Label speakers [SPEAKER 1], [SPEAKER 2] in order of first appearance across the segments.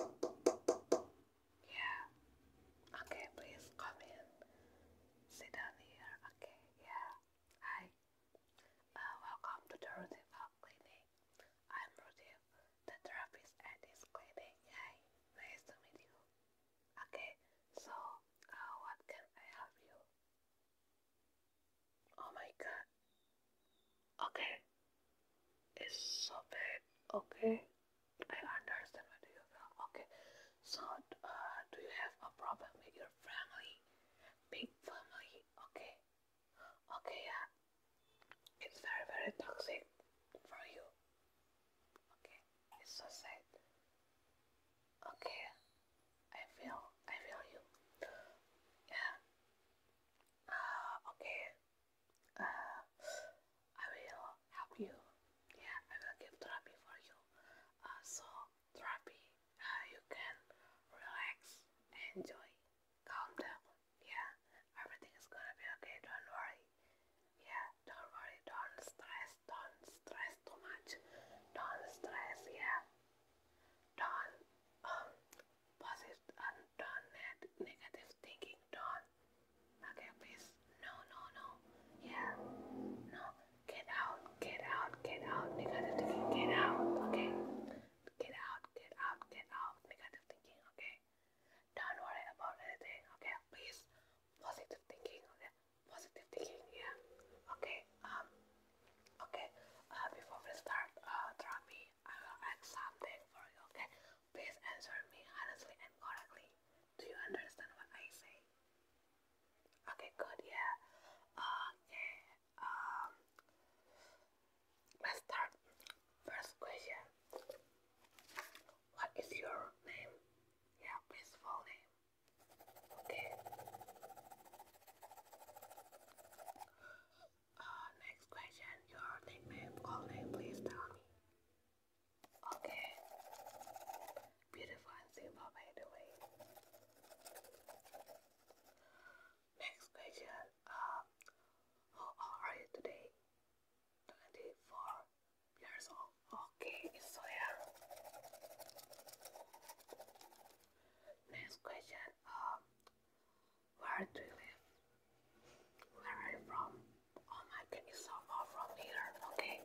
[SPEAKER 1] Yeah. Okay, please come in. Sit down here. Okay, yeah. Hi. Uh, welcome to the Rudiva Clinic. I'm Rudiv, the therapist at this clinic. Hi. Nice to meet you. Okay, so uh, what can I help you? Oh my god. Okay, it's so Okay, I understand where you from. Okay, so uh, do you have a problem with your family, big family? Okay, okay, yeah, it's very very toxic for you. Okay, it's so sad. Okay, I feel I feel you. Yeah. Uh, okay, uh, I will help you. Yeah, I will give therapy for you. Uh, so therapy, uh, you can relax, enjoy, calm down. Yeah, everything is gonna be okay. Don't worry. Yeah, don't worry. Don't stress. Don't stress too much. Don't stress. Yeah. do positive and don't let negative thinking don't make a No, no, no. Yeah. No. Get out, get out, get out, negative thinking, get out, okay? Get out, get out, get out, negative thinking, okay? Don't worry about anything, okay? Please positive thinking, okay? Positive thinking, yeah. Okay, um okay, uh before we start, uh draw me I will ask something for you, okay? Please answer me honestly and correctly. Do you understand what I say? Okay, good, yeah. Okay, um, let's start. First question What is your name? Yeah, please, full name. Okay. Uh, next question. Your nickname, call name, please tell me. Okay. Beautiful and simple, by the way. Next question. Uh, how old are you today? 24 years old. Okay, it's so young. Next question. Um, where do you live? Where are you from? Oh my god, it's so from here, okay?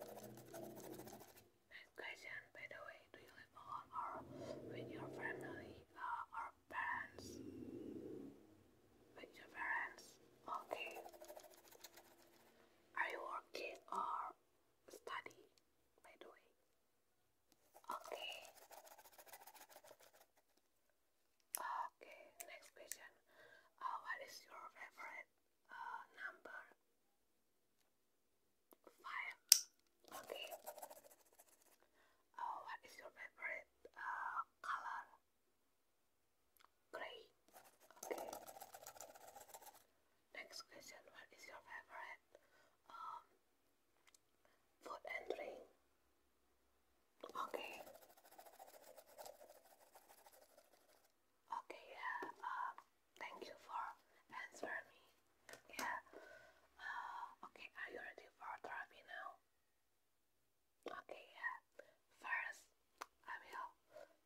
[SPEAKER 1] question, by the way, do you live alone or with your family uh, or parents? With your parents, okay. Are you working or study, by the way? Okay. Okay, next question. Uh, what is your favorite uh, number? Five. Okay. Uh, what is your favorite uh, color? Gray. Okay. Next question. What is your favorite um, Food and Okay. Okay, yeah. Uh, thank you for answering me. Yeah. Uh, okay, are you ready for therapy now? Okay, yeah. First, I will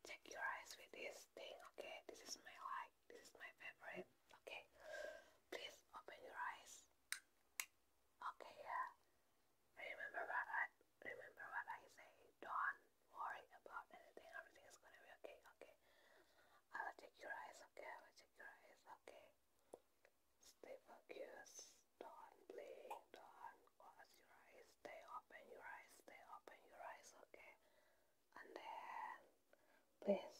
[SPEAKER 1] check your eyes with this thing, okay? This is my light this is my favorite. Okay, please open your eyes. Okay, yeah. Remember what I remember what I say. Don't worry about anything. Everything is gonna be okay. Okay. I will check your eyes. Okay, I will check your eyes. Okay. Stay focused. Don't blink. Don't close your eyes. Stay open your eyes. Stay open your eyes. Okay. And then, please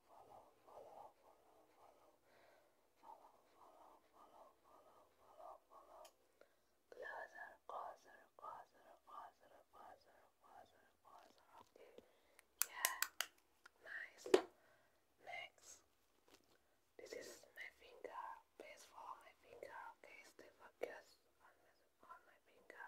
[SPEAKER 1] follow, follow, follow, follow, follow, follow, follow, follow, follow, follow. Closer, closer, closer, closer, closer, closer, closer. Yeah. Nice. Next. This is my finger. Please follow my finger. Okay, stay focused on my, on my finger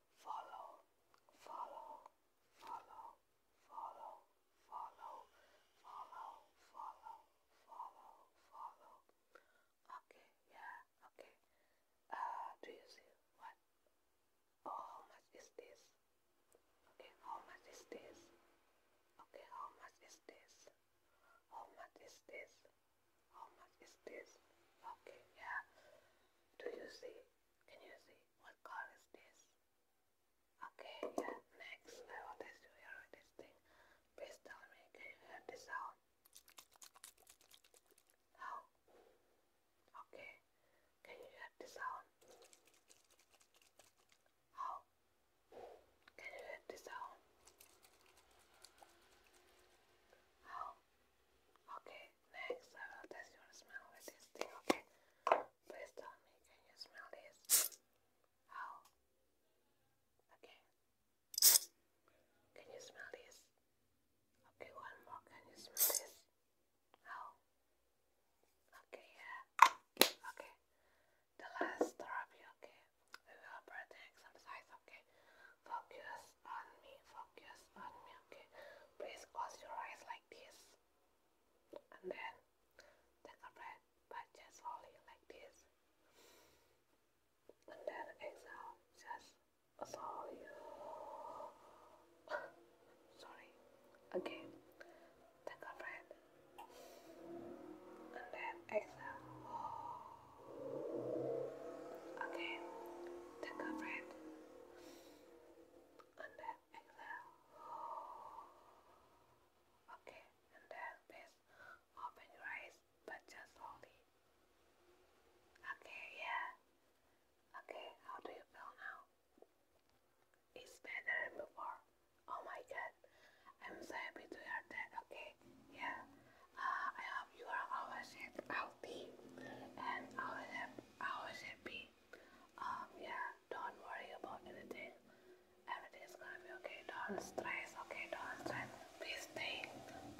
[SPEAKER 1] follow, follow, follow, follow, follow, follow, follow, follow, follow. Okay, yeah, okay. Uh, do you see what? Oh, how much is this? Okay, how much is this? Okay, how much is this? How much is this? How much is this? Okay, yeah. Do you see? Can you see? What car is this? Okay, yeah, next. I want to hear this thing. Please tell me, can you hear this sound? How? Okay, can you hear this sound? How? Can you hear this sound? How? Okay, next I will test your smell with this thing, okay? Please tell me, can you smell this? How? Okay. Can you smell this? Okay, one more. Can you smell this? How? Okay, yeah. Okay. The last therapy, okay? We will practice exercise, okay? Focus on me, focus on me, okay? Please close your eyes like this. And then take a breath, but just slowly like this. And then exhale, just slowly. Sorry. Again, take a breath. And then exhale. Okay, take a breath and then exhale. Okay, and then please open your eyes, but just slowly. Okay, yeah. Okay, how do you feel now? It's better than before. Oh my god, I'm so happy to hear that. Okay, yeah. Uh, I hope you are always healthy and always happy. Always happy. Um, yeah, don't worry about anything. Everything's gonna be okay. Don't stress. Okay, don't stress. Please stay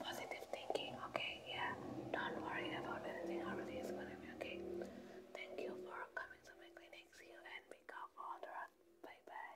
[SPEAKER 1] positive thinking. Okay, yeah. Don't worry about anything. Everything is gonna be okay. Thank you for coming to my clinic. See you and pick up all the rest. Bye bye.